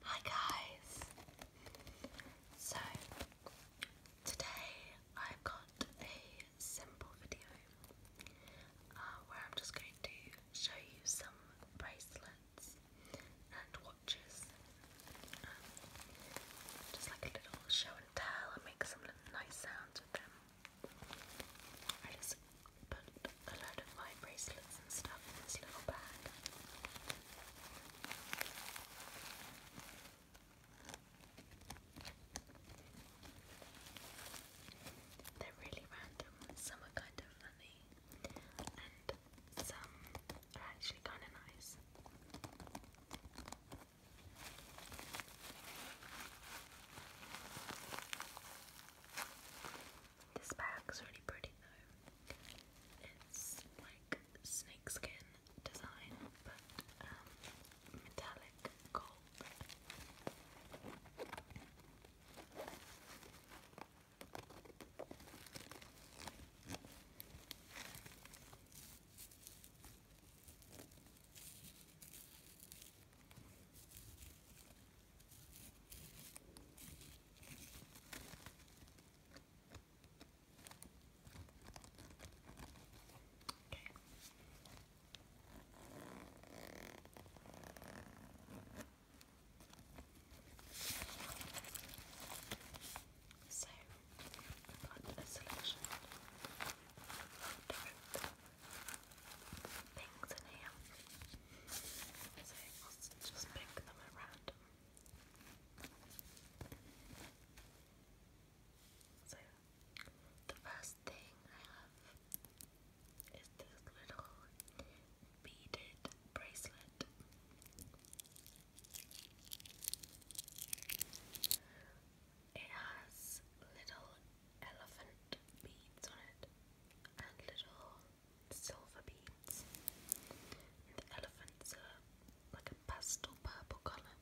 Hi guys! So, today I've got a simple video uh, where I'm just going to show you some bracelets and watches. Um, just like a little show and tell and make some nice sounds with them a load of my bracelets and stuff in this little bag. They're really random, some are kind of funny, and some are actually kind of nice. This bag's really pretty though. It's like snakeskin design, but um, metallic gold. So, i a selection of different things in here. So, I'll just pick them around that. So, the first thing I have is this little beaded bracelet. It has little elephant beads on it and little silver beads. the elephants are like a pastel purple colour.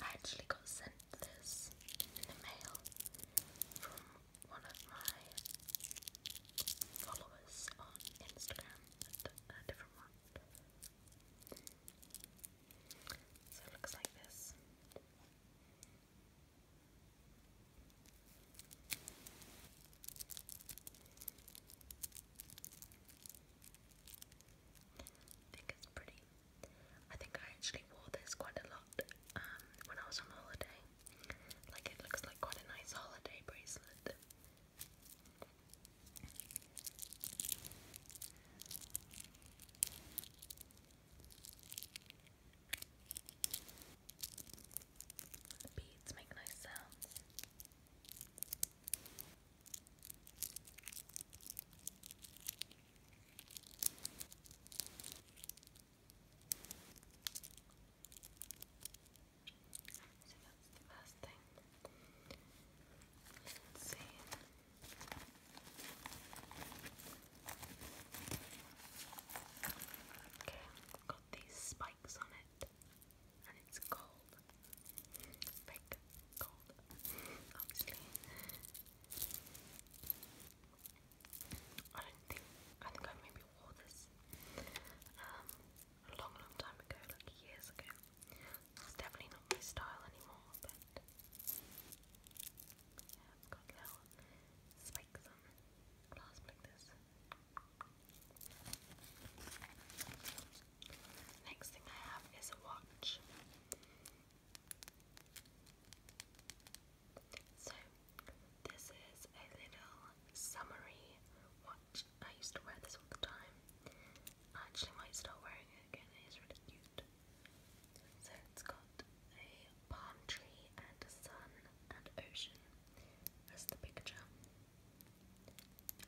I actually got sent this in the mail from one of my followers on Instagram, a different one. So it looks like this. I think it's pretty. I think I actually wore this quite a lot um, when I was on holiday. Like it looks like quite a nice holiday bracelet. Beads make nice sounds. So that's the first thing. You see Okay, got these spikes on it, and it's gold. Fake gold, obviously. I don't think I think I maybe wore this um, a long, long time ago, like years ago. It's definitely not my style anymore, but got little spikes on the like this. Next thing I have is a watch. So, this is a little summery watch. I used to wear this all the time. I actually might start wearing it again, it is really cute. So it's got a palm tree and a sun and ocean as the picture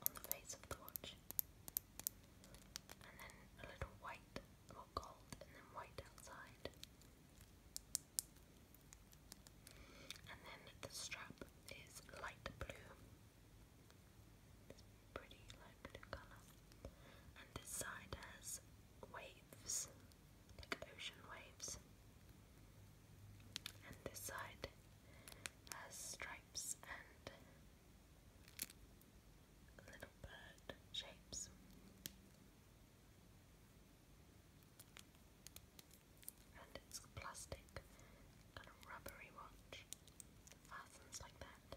on the face of the watch. And then a little white, or gold, and then white outside. And then the strap is light blue. pretty light colour and this side has waves, like ocean waves, and this side has stripes and little bird shapes. And it's plastic, and rubbery watch. Fastens like that.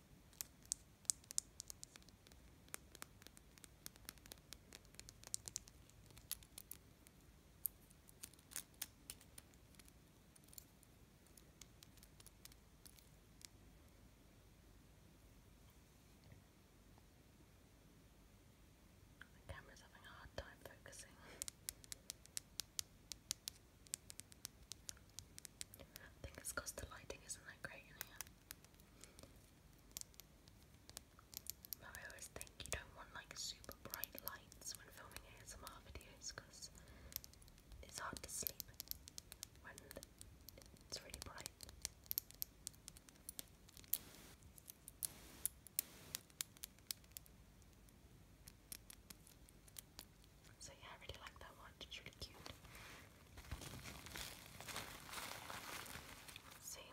The camera's having a hard time focusing. I think it's the lighting isn't that great in here. But I always think you don't want like super bright lights when filming ASMR videos it's hard to sleep when it's really bright. So yeah, I really like that one. It's really cute. see.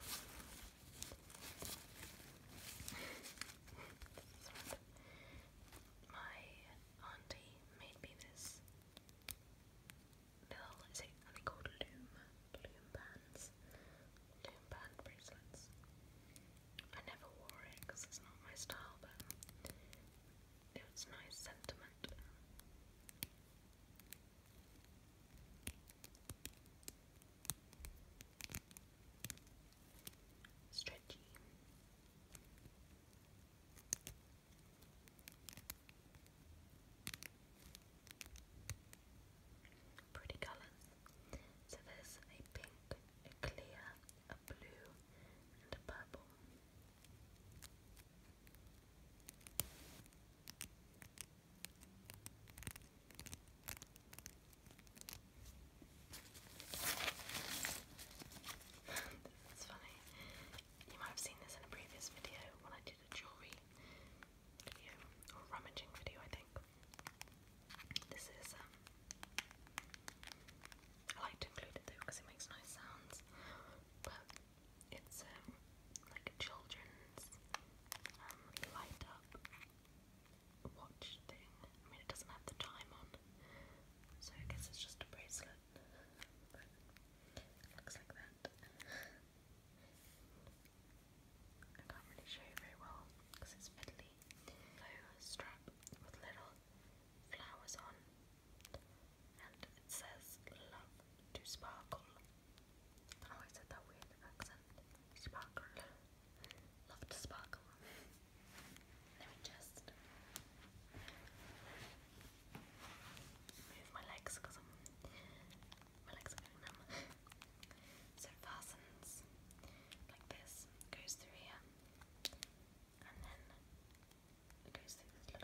My auntie made me this little, is called loom? Loom bands? Loom band bracelets. I never wore it because it's not my style, but it's nice sentiment that. Stretchy. Pretty colours. So there's a pink, a clear, a blue, and a purple. It's funny. You might have seen this in a previous video when I did a jewellery video or rummaging video I think. This is um, I like to include it though because it makes nice sounds. But it's um, like a children's um, light up watch thing. I mean, it doesn't have the time on, so I guess it's just a bracelet. looks like that. I can't really show you very well because it's fiddly. So, strap with little flowers on and it says love to sparkle. I do said that weird accent. Sparkle. Love to sparkle. Let me just move my legs because my legs are getting numb. so fastens like this, goes through here, and then you And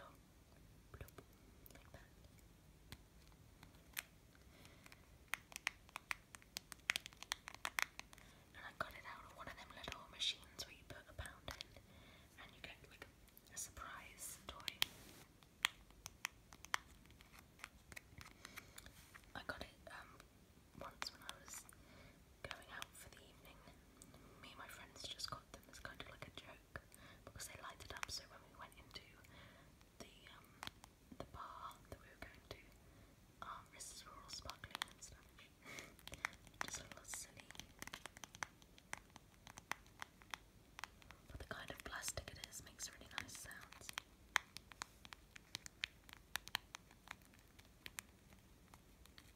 I got it out of one of them little machines where you put a pound in and you get like a surprise toy. I got it um once when I was going out for the evening me and my friends just got them as kind of like a joke because they lighted up. So when we went into the um, the bar that we were going to, our wrists were all sparkling and stuff. just a little silly. But the kind of plastic it is makes really nice sounds.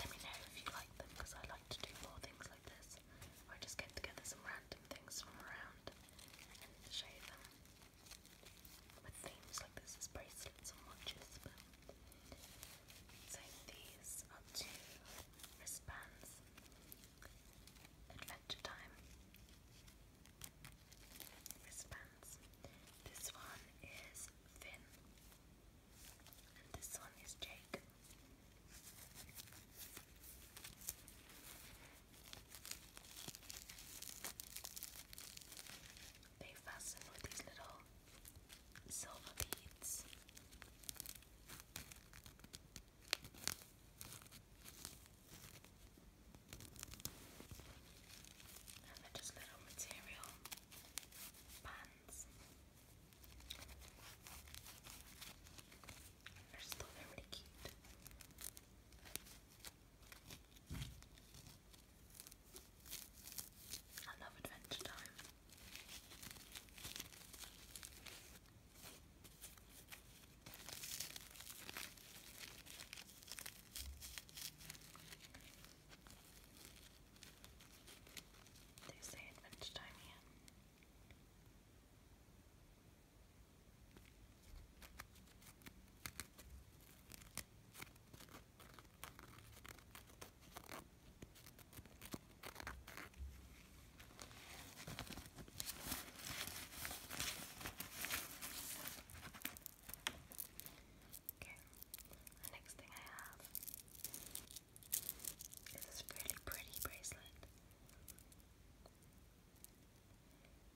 Let me know if you like them because I like to do more things like this. I just get together some random things from around and show them. With themes like this is bracelets and watches. But... these are two wristbands. Adventure Time wristbands. This one is Finn. And this one is Jake. They fasten with these little silver beads. And they're just little material pants. They're still really cute. I love Adventure Time. They say at lunchtime Okay, the next thing I have is this really pretty bracelet.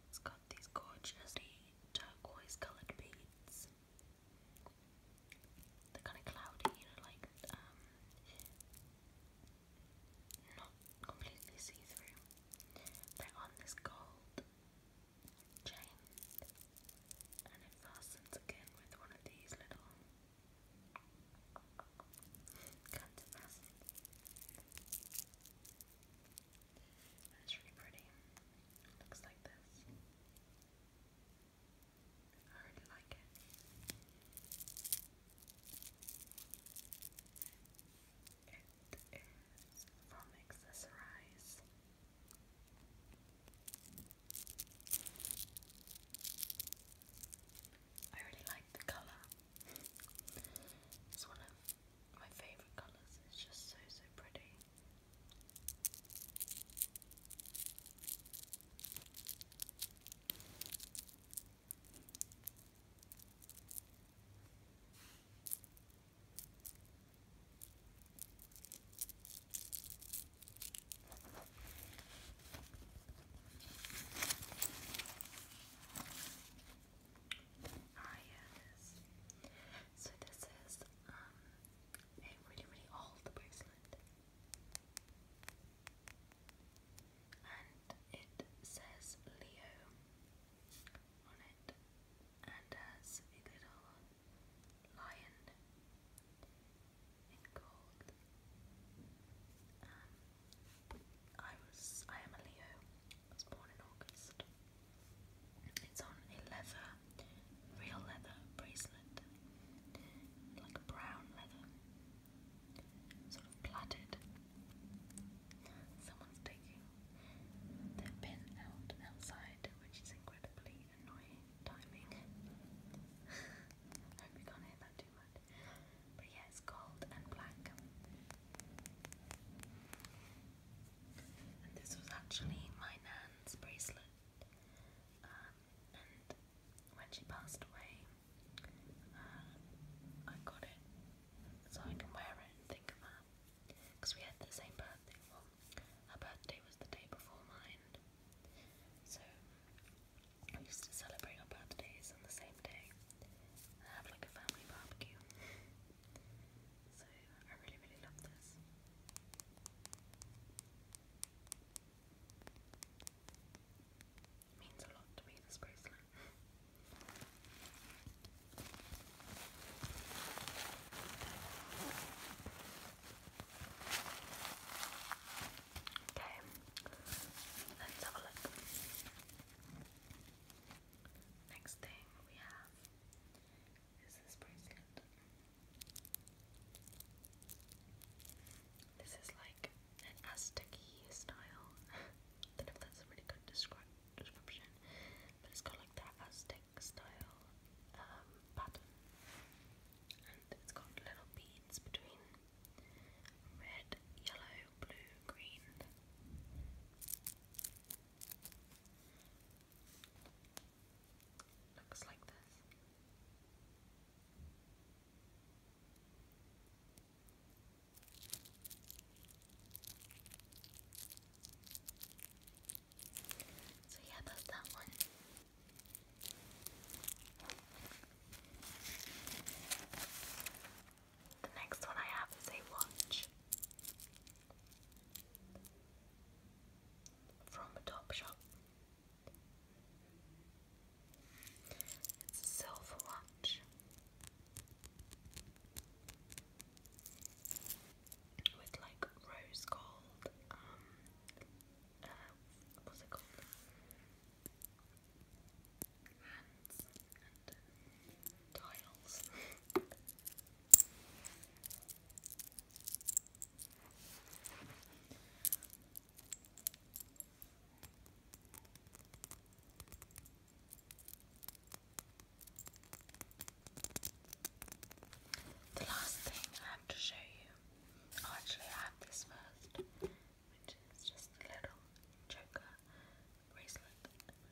It's got these gorgeously turquoise coloured beads. They're kind of cloudy, you like um, not completely see-through. They're on this gold chain, and it fastens again with one of these little kinds it's really pretty. looks like this. I really like it. It is from Accessorize. I really like the colour. It's one of my favourite colours. It's just so, so pretty. Ah, yeah, So this is um, a really, really old bracelet, and it says Leo on it, and has a little lion and cold. Um, I was, I am a Leo. I was born in August. It's on a leather, real leather bracelet, like a brown leather, sort of plaited. Someone's taking their pin out outside, which is incredibly annoying timing. I hope you can't hear that too much. But yeah, it's gold and black. And this was actually my nan's bracelet. Um, and when she passed away, uh, I got it so I can wear it and think of her. Because we had the same birthday, her birthday was the day before mine, so we used to celebrate our birthdays on the same day have like a family barbecue. so I really, really love this. means a lot to me, this bracelet. Okay, let's have a look. Next thing we have is this bracelet. This is like an aztec style. I don't know if that's a really good description, but it's got like that Aztec style um, pattern. And it's got little beads between red, yellow, blue, green. Looks like this. So yeah, that's that one. The next one I have is a watch from Topshop. It's a silver watch with like rose gold um, uh, what's it called? and tiles. The last thing I have to show you, oh, actually I have this first, which is just a little choker bracelet,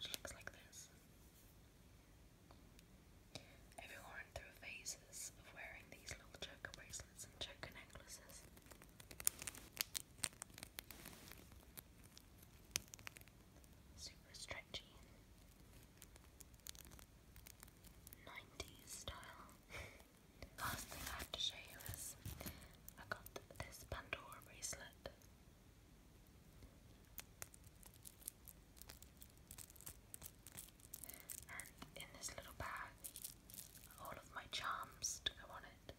which looks like this. Everyone through phases of wearing these little choker bracelets and choker necklaces. Super stretchy. 90s style. Last thing I have to show you is I got this Pandora bracelet. And in this little bag, all of my charms to go on it.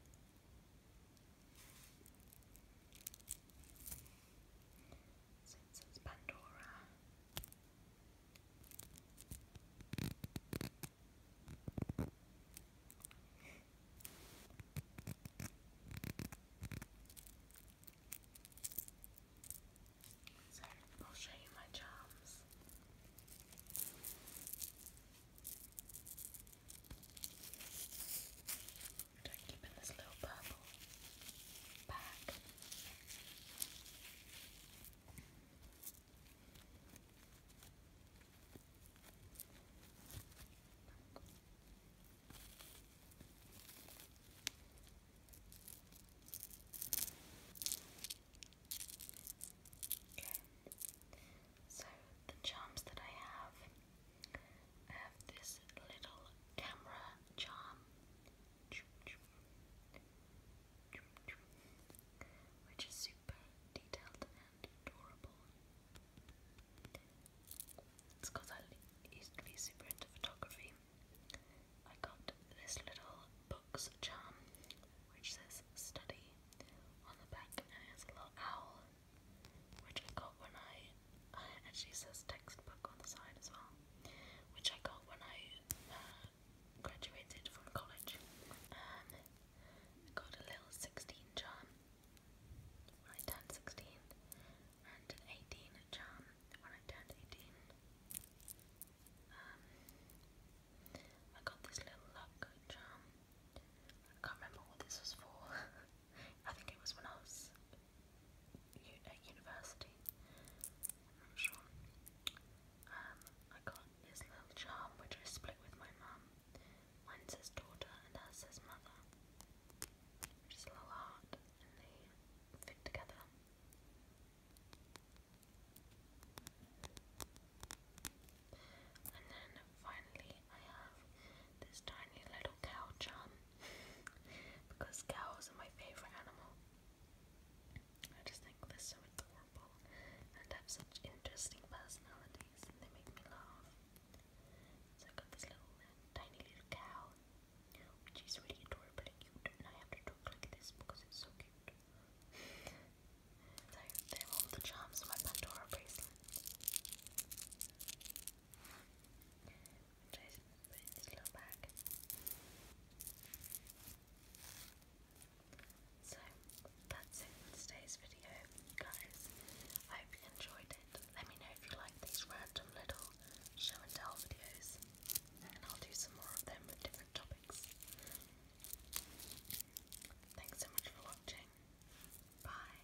So it Pandora. So I'll show you my charms. I keep in this little purple bag. Okay, so the charms that I have, have this little camera charm which is super detailed and adorable. It's because I used to be super into photography. I got this little book's charm which says study on the back and it has a little owl which I got when I, uh, it actually says textbook on the side as well which I got when I uh, graduated from college. Um, got a little 16 charm when I turned 16 and an 18 charm when I turned 18. Um, I got this little luck charm. I can't remember what this was for. I think it was when I was at university. I'm sure. Um, I got this little charm which I split with my mum. Mine says daughter and hers says mother. Just a little heart and they fit together. And then finally I have this tiny little cow charm because cows are my favourite animal. I just think they're so adorable and have such interesting personalities, and they make me laugh. So I got this little uh, tiny little cow, which is really adorable and cute, and I have to talk like this because it's so cute. so they're all the charms my Pandora bracelet try So that's it for today's video, guys. I hope you enjoyed it. Let me know if you like these random little show and tell videos, and I'll do some more of them with different topics. Thanks so much for watching. Bye.